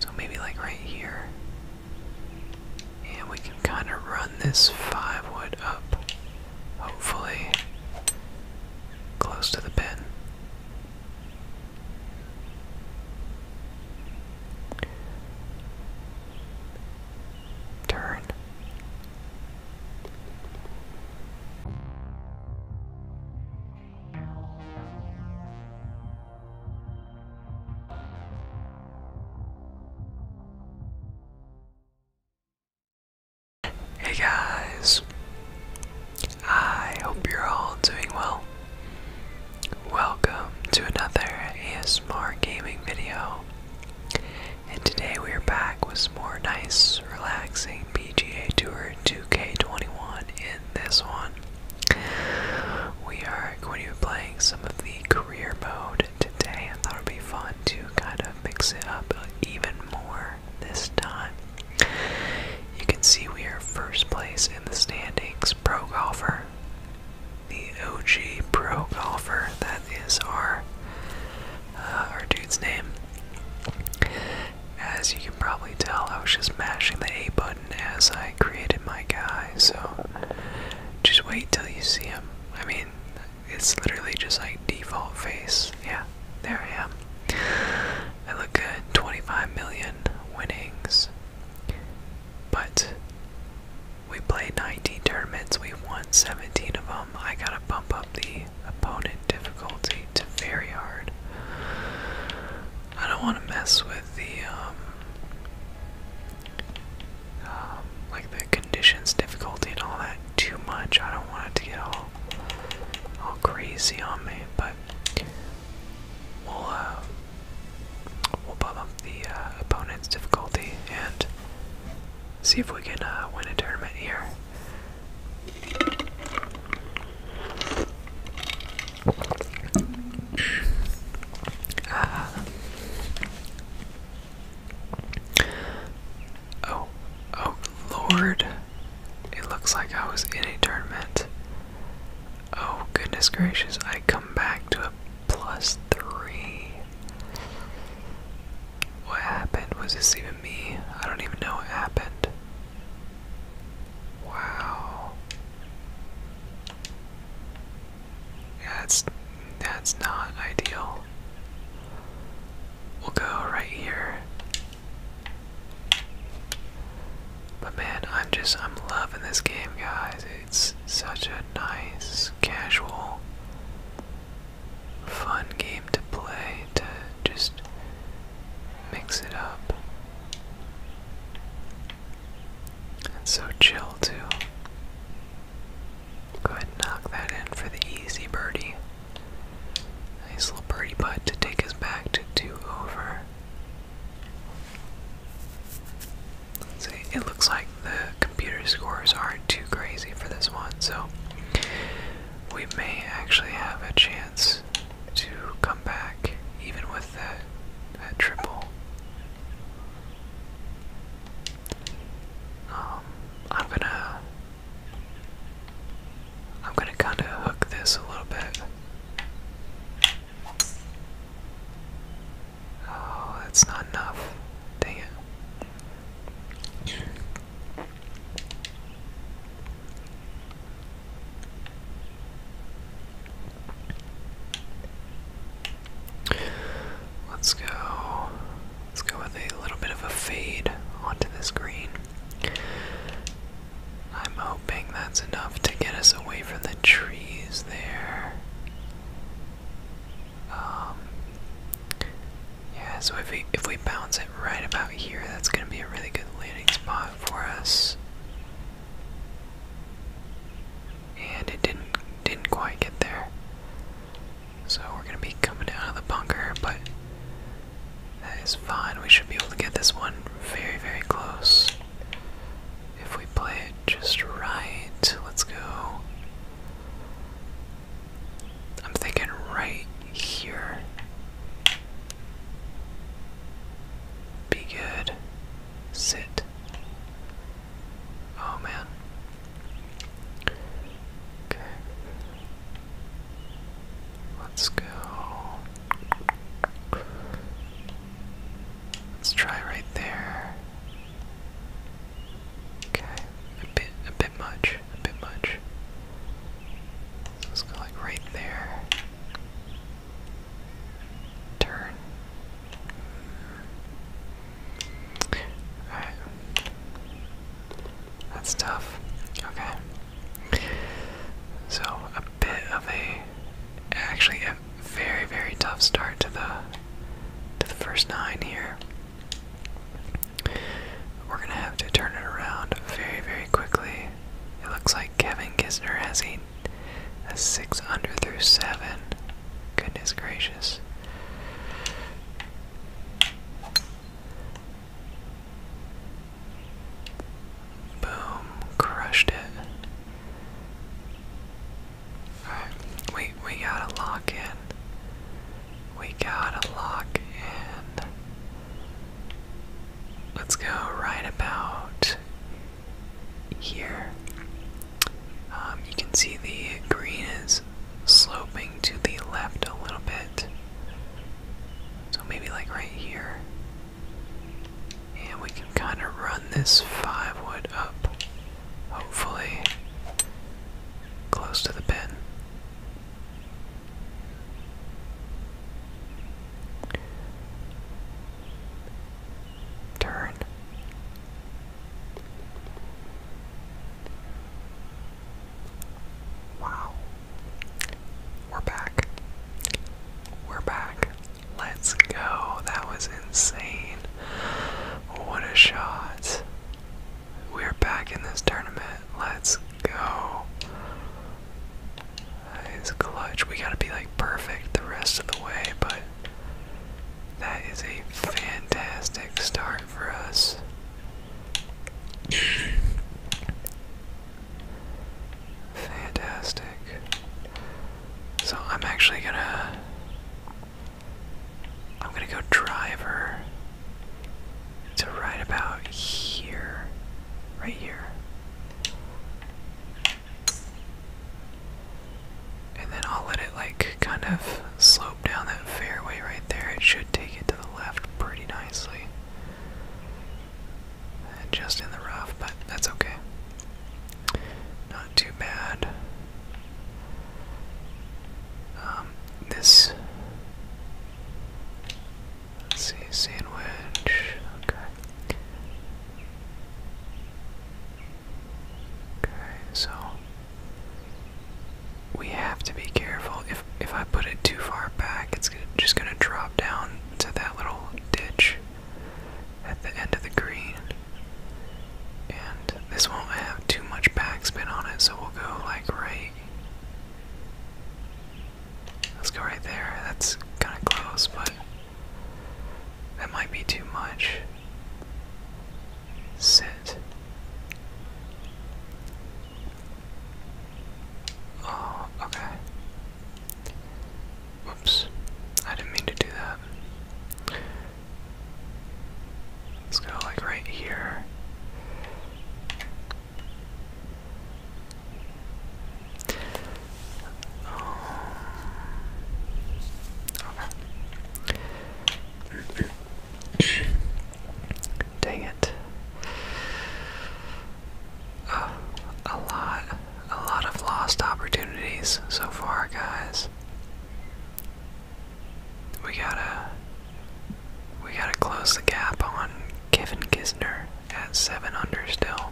So maybe like right here. And we can kind of run this five wood up, hopefully, close to the pin. Turn. Hey guys, I hope you're all doing well. Welcome to another ASMR gaming video, and today we are back with more nice, relaxing PGA Tour 2K21 in this one. We are going to be playing some of the career mode today. I thought it would be fun to kind of mix it up even more this time. You can see we are first place in the standings, pro golfer. The OG pro golfer, that is our uh, our dude's name. As you can probably tell, I was just mashing the A button as I created my guy, so just wait till you see him. I mean, it's literally just like default face. Yeah, there I am. I look good. 25 million winnings. But we played 19 tournaments. We won 17 of them. I gotta bump up the opponent difficulty to very hard. I don't want to mess with the um, um, like the conditions, difficulty, and all that too much. I don't want it to get all all crazy on me, but we'll uh, we'll bump up the uh, opponent's difficulty and see if we can uh, win a tournament here. Uh, oh, oh Lord. It looks like I was in a tournament. Oh, goodness gracious, I come back to a plus three. What happened? Was this even me? I don't even know what happened. Wow. that's that's not ideal. We'll go right here. But man, I'm just I'm loving this game, guys. It's such a nice, casual, fun game to play to just mix it up. It's so chill, too. Go ahead and knock that in for the easy birdie. Nice little birdie putt to take us back to two over. see, it looks like the computer scores aren't too crazy for this one, so we may actually have a chance to come back even with that triple. Um, I'm gonna I'm gonna kinda hook this a little bit. Oh, that's not enough. Dang it. Let's go. Let's go with a little bit of a fade onto this green. I'm hoping that's enough to get us away from the trees there. Um, yeah, so if we if we bounce it right about here, that's gonna be a really good landing spot for us. And it didn't didn't quite get there. So we're gonna be coming out of the bunker, but that is fine. We should be able to get this one very, very close. If we play it just right, let's go. I'm thinking right here. Be good. Sit. Oh man. Okay. Let's go. Let's try right there. Okay. A bit a bit much. A bit much. let's go like right there turn. Alright. That's tough. Okay. So, a bit of a. Actually, a very, very tough start to the. To the first nine here. We're gonna have to turn it around very, very quickly. It looks like. Kevin Kisner has a, a six under through seven. Goodness gracious. Boom, crushed it. Alright, we we gotta lock in. We gotta lock in. Let's go right about here. Um, you can see the green is sloping to the left a little bit. So maybe like right here. And we can kind of run this five wood up, hopefully, close to the pin. Turn. Wow. We're back. We're back. Let's go. That was insane. What a shot. We're back in this tournament. Let's go. It's clutch. We gotta be like perfect the rest of the way, but that is a fantastic start for us. Fantastic. So I'm actually gonna I'm gonna go driver to right about here. Right here. And then I'll let it like kind of slope down that fairway right there. It should take it to the left pretty nicely. Just in the rough, but that's okay. Not too bad. Um, this Let's see, sandwich. Okay. Okay, so we have to be careful. If if I put it too far back, it's gonna, just gonna drop down to that little ditch at the end of the green. And this won't have too much backspin on it, so we'll go like right Let's go right there. That's kind of close, but that might be too much. Sit. Oh, okay. Whoops. I didn't mean to do that. Let's go like right here. Um, dang it. Uh, a lot, a lot of lost opportunities so far, guys. We gotta, we gotta close the gap on Kevin Kisner at 7 under still.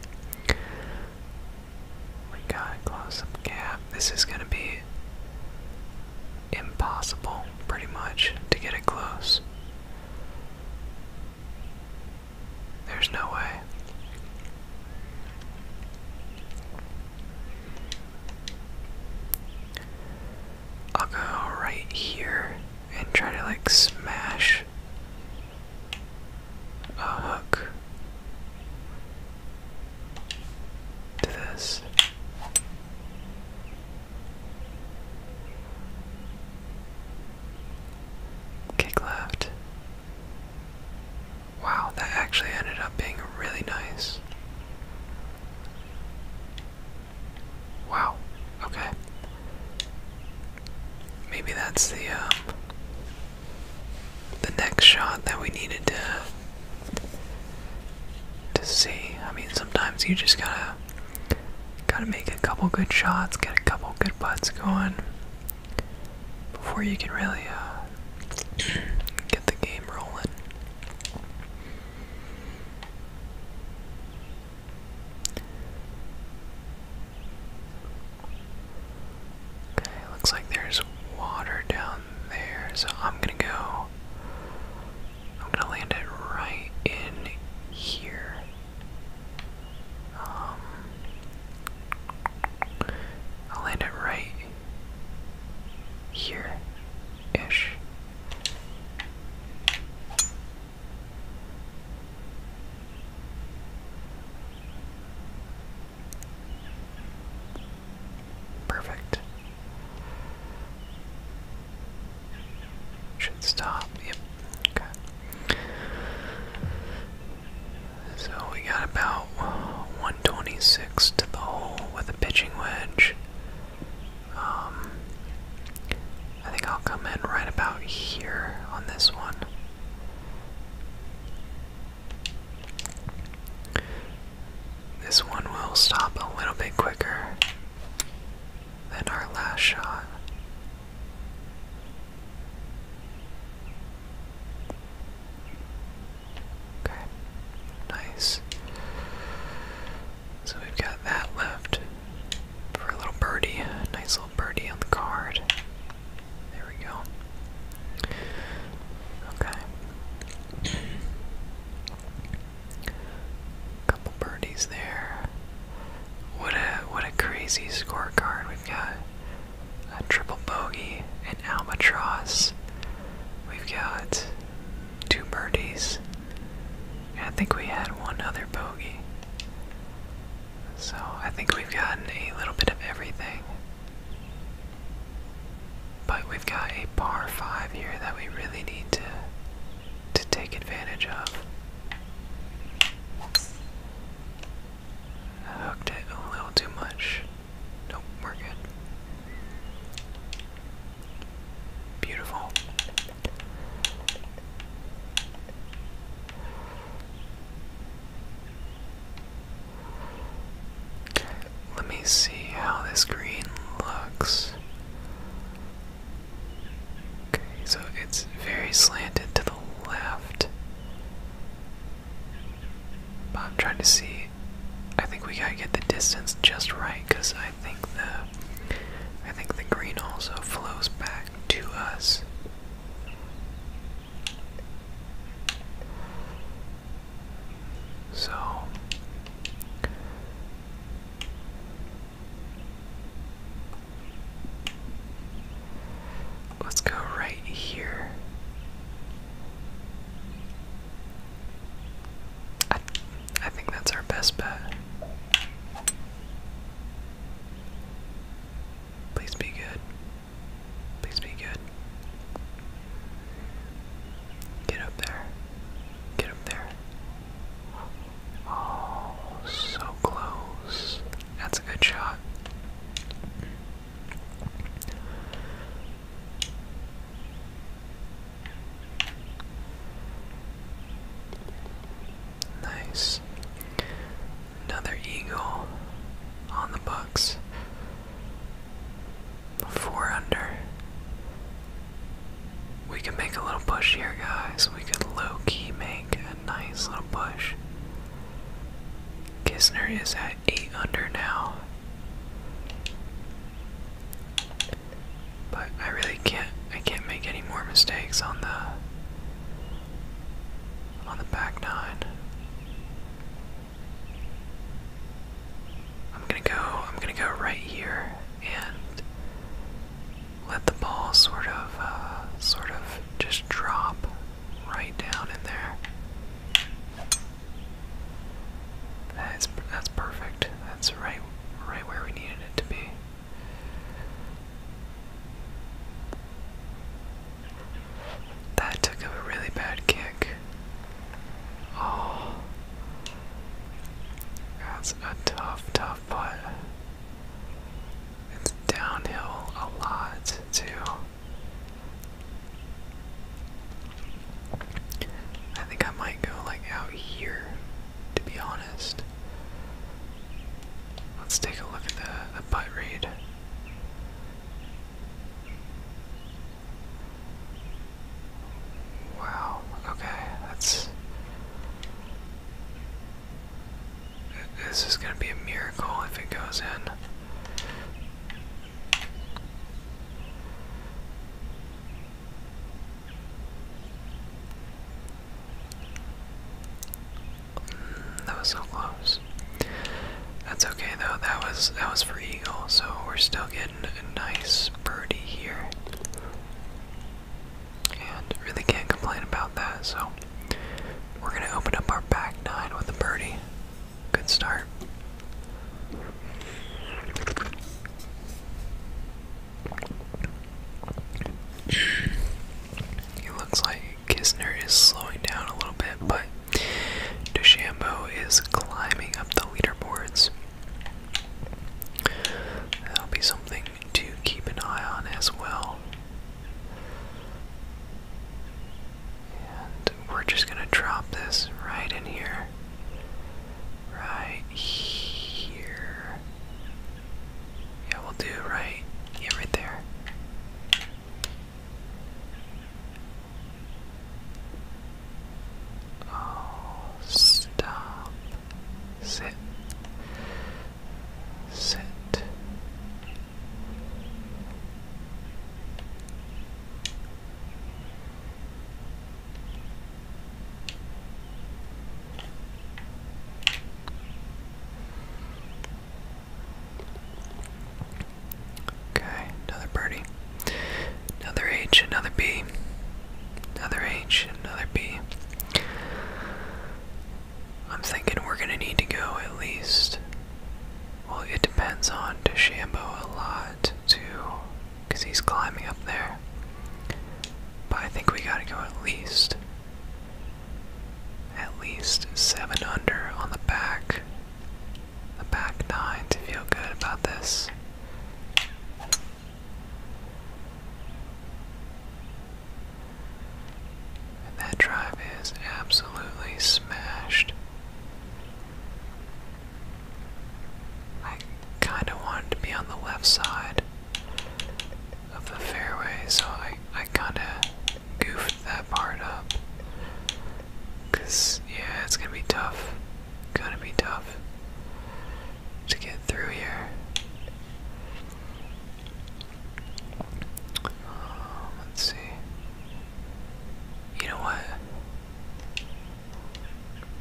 We got close the This is gonna be impossible, pretty much, to get it close. There's no way. I'll go right here and try to like smash a hook to this. Kick left. Wow, that actually ended up being really nice. Wow, okay. Maybe that's the um, the next shot that we needed to to see. I mean, sometimes you just gotta gotta make a couple good shots, get a couple good butts going before you can really uh, get the game rolling. Okay, looks like there's water down there, so I'm gonna go. I'm gonna land it right in here. Um, I'll land it right here ish. Perfect. Should stop. Yep. Okay. So we got about 126 to the hole with a pitching wedge. Um, I think I'll come in right about here on this one. This one will stop a little bit quicker than our last shot. Okay, nice. So we've got that left for a little birdie. Nice little birdie on the card. There we go. Okay. Couple birdies there. What a what a crazy scorecard. We've got a triple bogey, an albatross. We've got two birdies. I think we had one other bogey. So I think we've gotten a little bit of everything. But we've got a par 5 here that we really need to to take advantage of. hooked it a little too much. Nope, we're good. Beautiful. Let me see how this green looks. Okay, so it's very slanted to the left. But I'm trying to see. I think we gotta get the distance just right because I think the I think the green also flows back to us. So let's go right here. I, think that's our best bet. Please be good. Please be good. Get up there. Get up there. Oh, so close. That's a good shot. Nice. Another eagle on the books. Four under. We can make a little push here, guys. We could low key make a nice little push. Kisner is at 8 under now. But I really can't I can't make any more mistakes on the on the back nine. I'm gonna go I'm gonna go right here and let the ball sort of uh, sort of just drop right down in there. That's that's perfect. That's right right where we needed it to be. That took a really bad kick. Oh. That's a tough, tough putt. It's downhill a lot, too. I think I might go like out here, to be honest. Let's take a look at the, the butt read. Wow, okay, that's. This is going to be a miracle if it goes in. That was so close. That's okay though. That was that was for eagle, so we're still getting a nice birdie here, and really can't complain about that. So we're gonna open up our back nine with a birdie. Good start. He looks like Kisner is slowing down a little bit, but DeChambeau is climbing up the leaderboards. That'll be something to keep an eye on as well. we're just gonna drop this right in here. Right here. Yeah, we'll do right. Yeah, right there. Oh, stop. Sit. Sit. Okay, another birdie. Another H, another B. Another H, another B. I'm thinking we're gonna need to go at least. Well, it depends on DeChambeau a lot, too, because he's climbing up there. But I think we gotta go at least at least seven under on the back, the back nine to feel good about this. that drive is absolutely smashed. I kind of wanted to be on the left side of the fairway, so I, I kind of goofed that part up. yeah, it's gonna be tough. Gonna be tough to get through here. Um, let's see. You know what?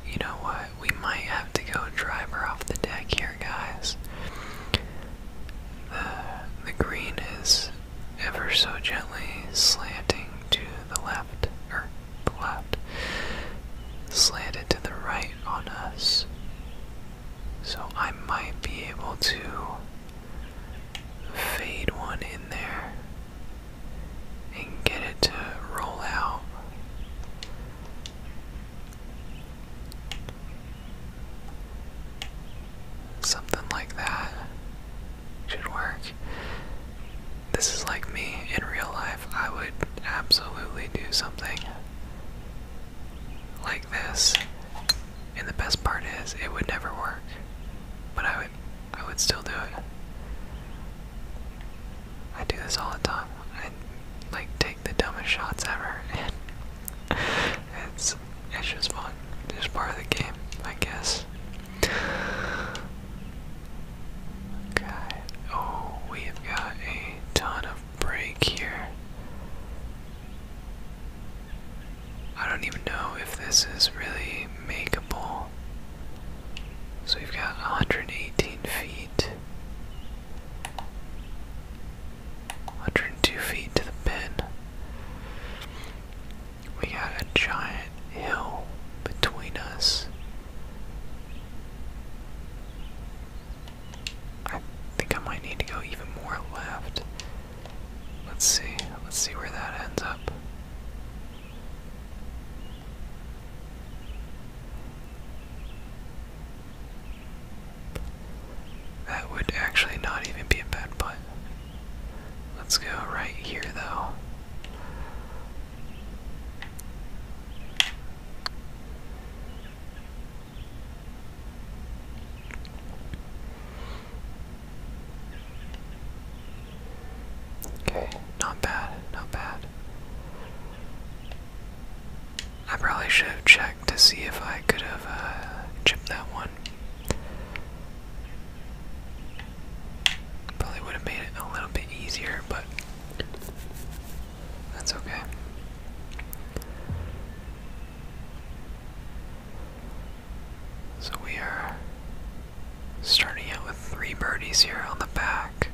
You know what? We might have to go driver off the deck guys. The, the green is ever so gently slanting to the left, or the left, slanted to the right on us. So I might be able to fade one in there and get it to roll out. Something like that should work. This is like me in real life. I would absolutely do something like this. And the best part is it would never work. But I would I would still do it. I do this all the time. I like take the dumbest shots ever and it's it's it's just fun. It's just part of the game, I guess. Okay. Oh, we have got a ton of break here. I don't even know if this is really makeable. So we've got 118 feet. 102 feet to the pin. We got a giant hill between us. I think I might need to go even more left. Let's see. Let's see where that ends up. That would actually not even be a bad putt. Let's go right here, though. Okay, not bad, not bad. I probably should have to see if I could have uh, chipped that one. Probably would have made it a little bit easier, but that's okay. So we are starting out with three birdies here on the back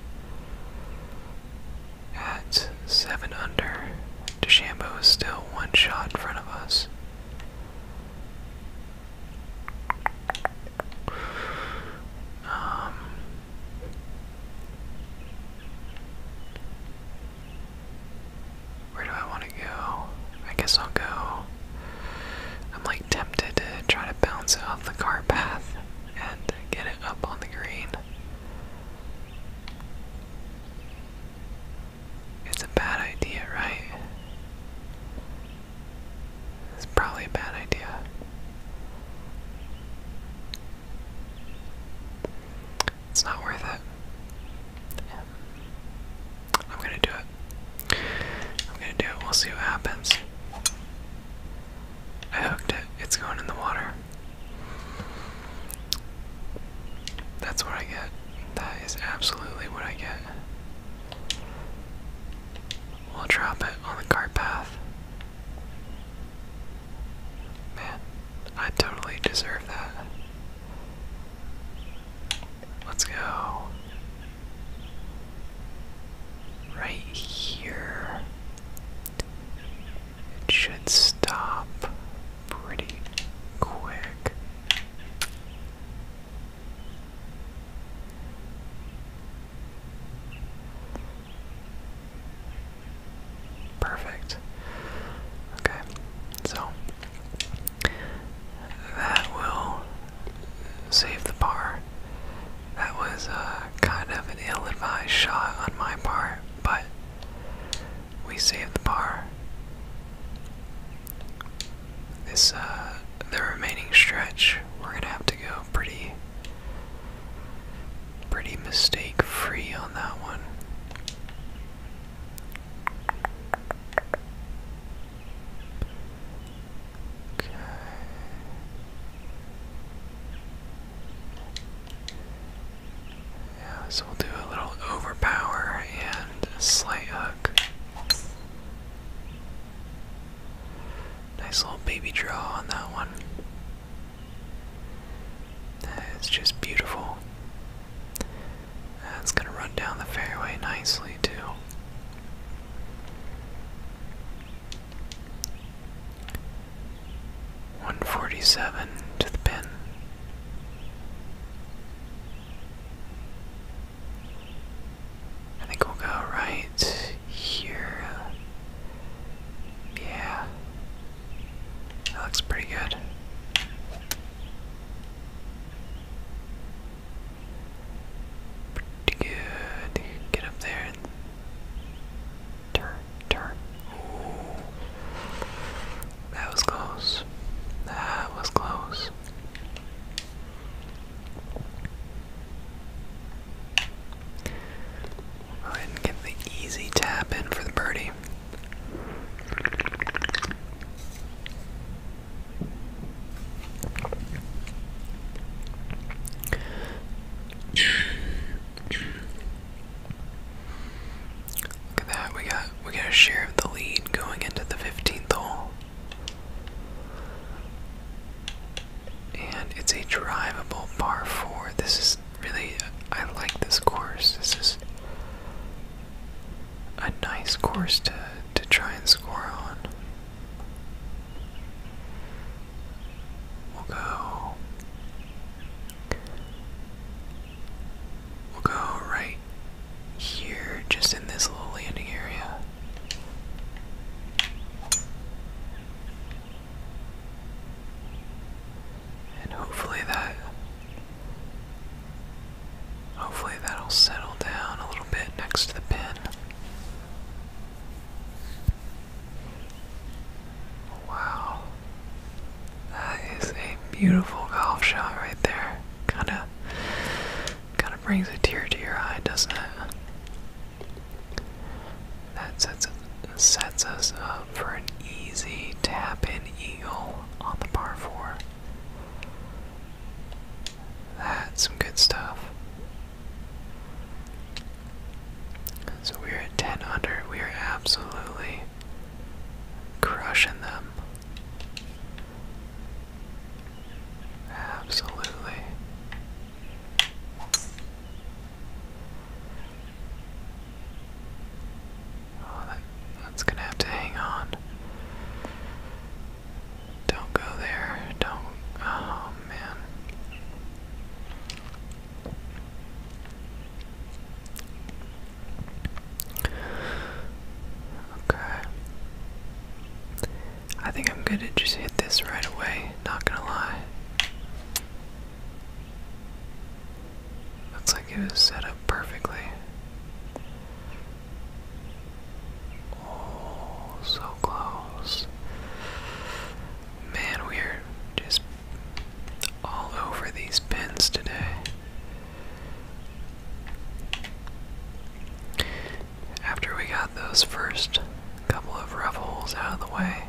at seven under. DeChambeau is still one shot in front of us. Um, where do I want to go? I guess I'll go. I'm like tempted to try to bounce it off the car path and get it up on the green. It's a bad idea, right? It's probably a bad idea. It's not worth it. I'm gonna do it. I'm gonna do it. We'll see what happens. I hooked it. It's going in the water. That's what I get. That is absolutely what I get. We'll drop it on the cart path. Man, I totally deserve that. Let's go. Right here. It should stop pretty quick. Perfect. Okay, so that will save the bar. That was uh, kind of an ill advised shot on my part, but we save the bar. This, uh, the remaining stretch, we're gonna have to go pretty, pretty mistake free on that one. Okay. Yeah, so we'll do a little overpower and a slight hook. Nice little baby draw on that one. It's just beautiful. That's gonna run down the fairway nicely too. 147 to the pin. I think we'll go right here. Yeah. That looks pretty good. Pretty good. Get up there turn, turn. That was close. That was close. Go ahead and get the easy tap in for the birdie. Look at that. We got we got a share of the lead going into the 15th hole. And it's a drivable par 4. This is really I like this course. This is a nice course to to try and score on. go We'll go right here, just in this little landing area. And hopefully that hopefully that'll settle down a little bit next to the pin. Oh, wow. That is a beautiful golf shot right there. Kinda kinda brings a tear to your eye, doesn't it? That sets sets us up for an easy tap in eagle on the par four. That's some good stuff. So we're at 10 under. We are absolutely Crushing them. Absolutely. Oh, that's gonna have to hang on. Don't go there. Don't. Oh, man. Okay. I think I'm good to just hit this right away, not gonna lie. Looks like it was set up perfectly. Oh, so close. Man, we're just all over these pins today. After we got those first couple of rough holes out of the way,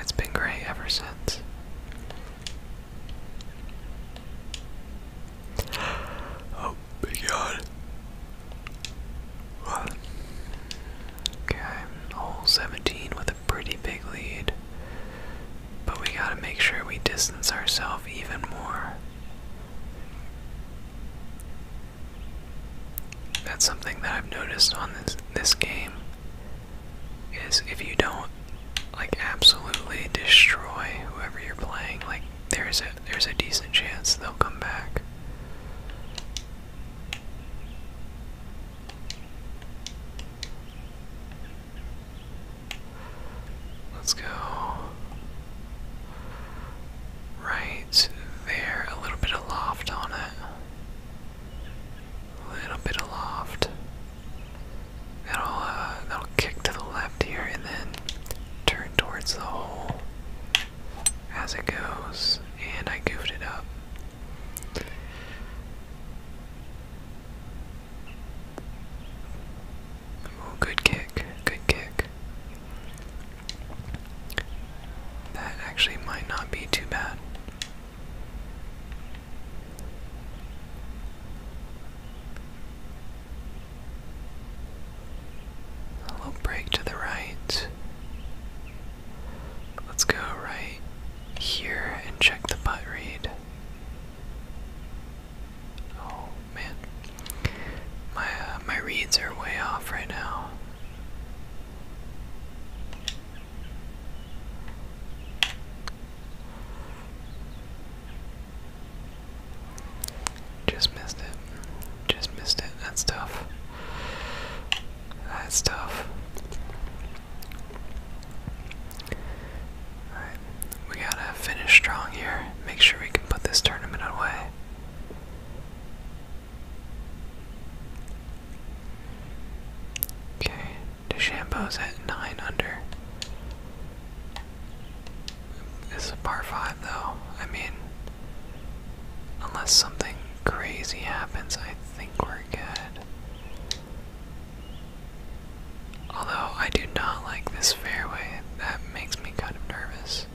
it's been great ever since. Oh my god. Okay, hole 17 with a pretty big lead. But we gotta make sure we distance ourselves even more. That's something that I've noticed on this this game is if you don't like absolutely destroy whoever you're playing, like there's a there's a decent chance they'll come back. Let's go right there. A little bit of loft on it. A little bit of loft. That'll uh, that'll kick to the left here and then turn towards the hole as it goes. And I goofed it up. Oh, good kick, good kick. That actually might not be too bad. A little break to the right. Let's go right here and check the butt read. Oh man, my uh, my reads are way off right now. Just missed it. Just missed it. That's tough. That's tough. Alright, we gotta finish strong here. Make sure we can put this tournament away. Okay, DeChambeau's at 9 under. This is a par 5 though. I mean, unless something crazy happens, I think we're good. Although I do not like this fairway, that makes me kind of nervous.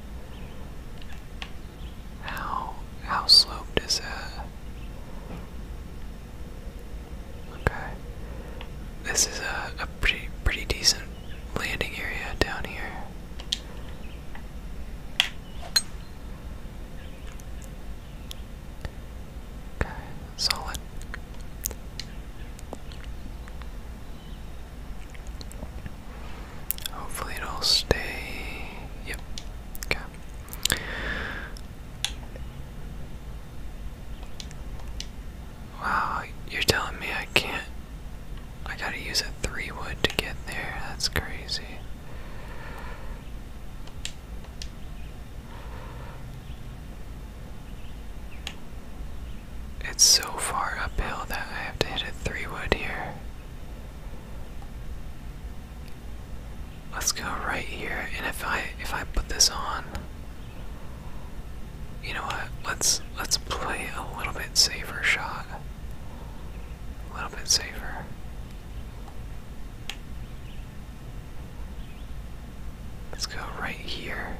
How how sloped is that? Okay. This is a, a pretty pretty decent landing area down here. Okay, solid. Hopefully it'll stay. Yep. Okay. Wow, you're telling me I can't. I gotta use a three wood to get there. That's crazy. It's so far uphill that I have to hit a three wood here. Let's go right here, and if I if I put this on, you know what? Let's let's play a little bit safer shot. A little bit safer. Let's go right here.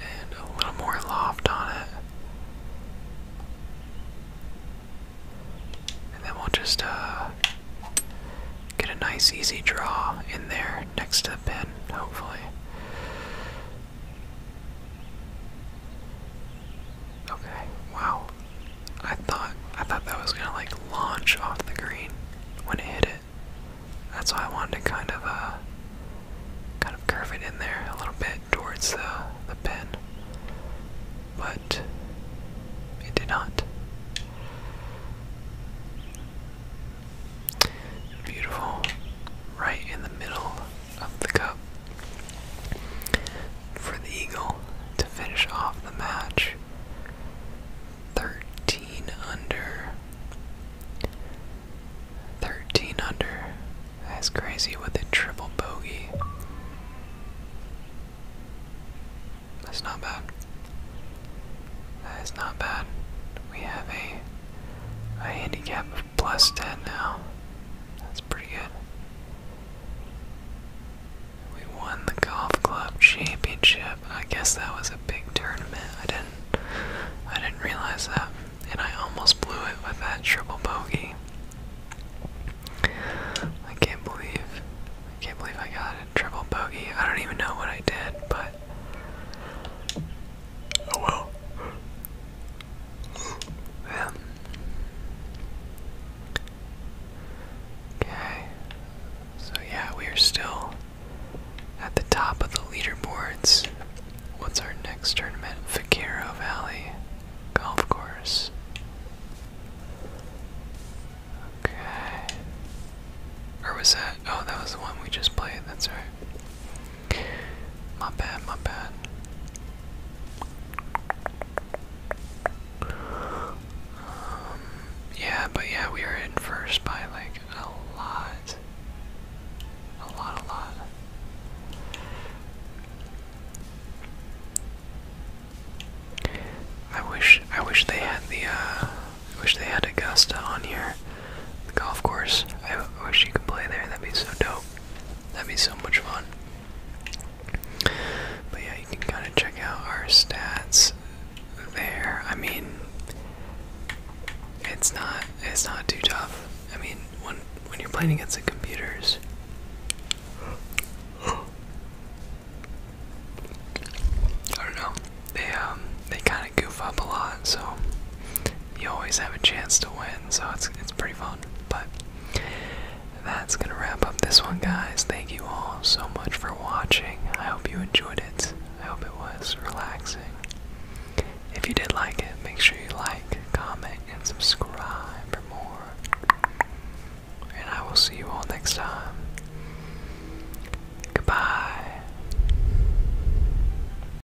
And a little more loft on it. And then we'll just uh, get a nice easy draw in there next to the pin, hopefully. Okay, wow. I thought I thought that was gonna like launch off the green when it hit it. That's why I wanted to kind of uh kind of curve it in there a little bit towards the the pin. But it did not. Beautiful. Right in the middle of the cup for the Eagle to finish off the match 13 under. 13 under. That's crazy with a triple bogey. That's not bad. That is not bad. We have a a handicap of plus 10 now. That's pretty good. We won the golf club championship. I guess that was a big tournament. I didn't I didn't realize that. And I almost blew it with that triple bogey. I can't believe I can't believe I got a triple bogey. I don't even know what I did, but Oh well. Yeah. Um, okay. So yeah, we are still at the top of the leaderboards. What's our next tournament? Vaquero Valley Golf Course. Okay. Or was that? Oh, that was the one we just played. That's right. My bad, my bad. Um, yeah, but yeah, we were in first by like a lot. A lot, a lot. I wish I wish they had the uh, I wish they had Augusta on here the golf course. I wish you could play there. That'd be so dope. That'd be so much fun. But yeah, you can kind of check out our stats there. I mean, it's not it's not too tough. I mean, when when you're playing against the computers. I don't know. They um they kind of goof up a lot, so you always have a chance to win, so it's it's pretty fun. But that's gonna wrap up this one, guys. Thank you all so much for watching. I hope you enjoyed it. I hope it was relaxing. If you did like it, make sure you like, comment, and subscribe for more. And I will see you all next time. Goodbye.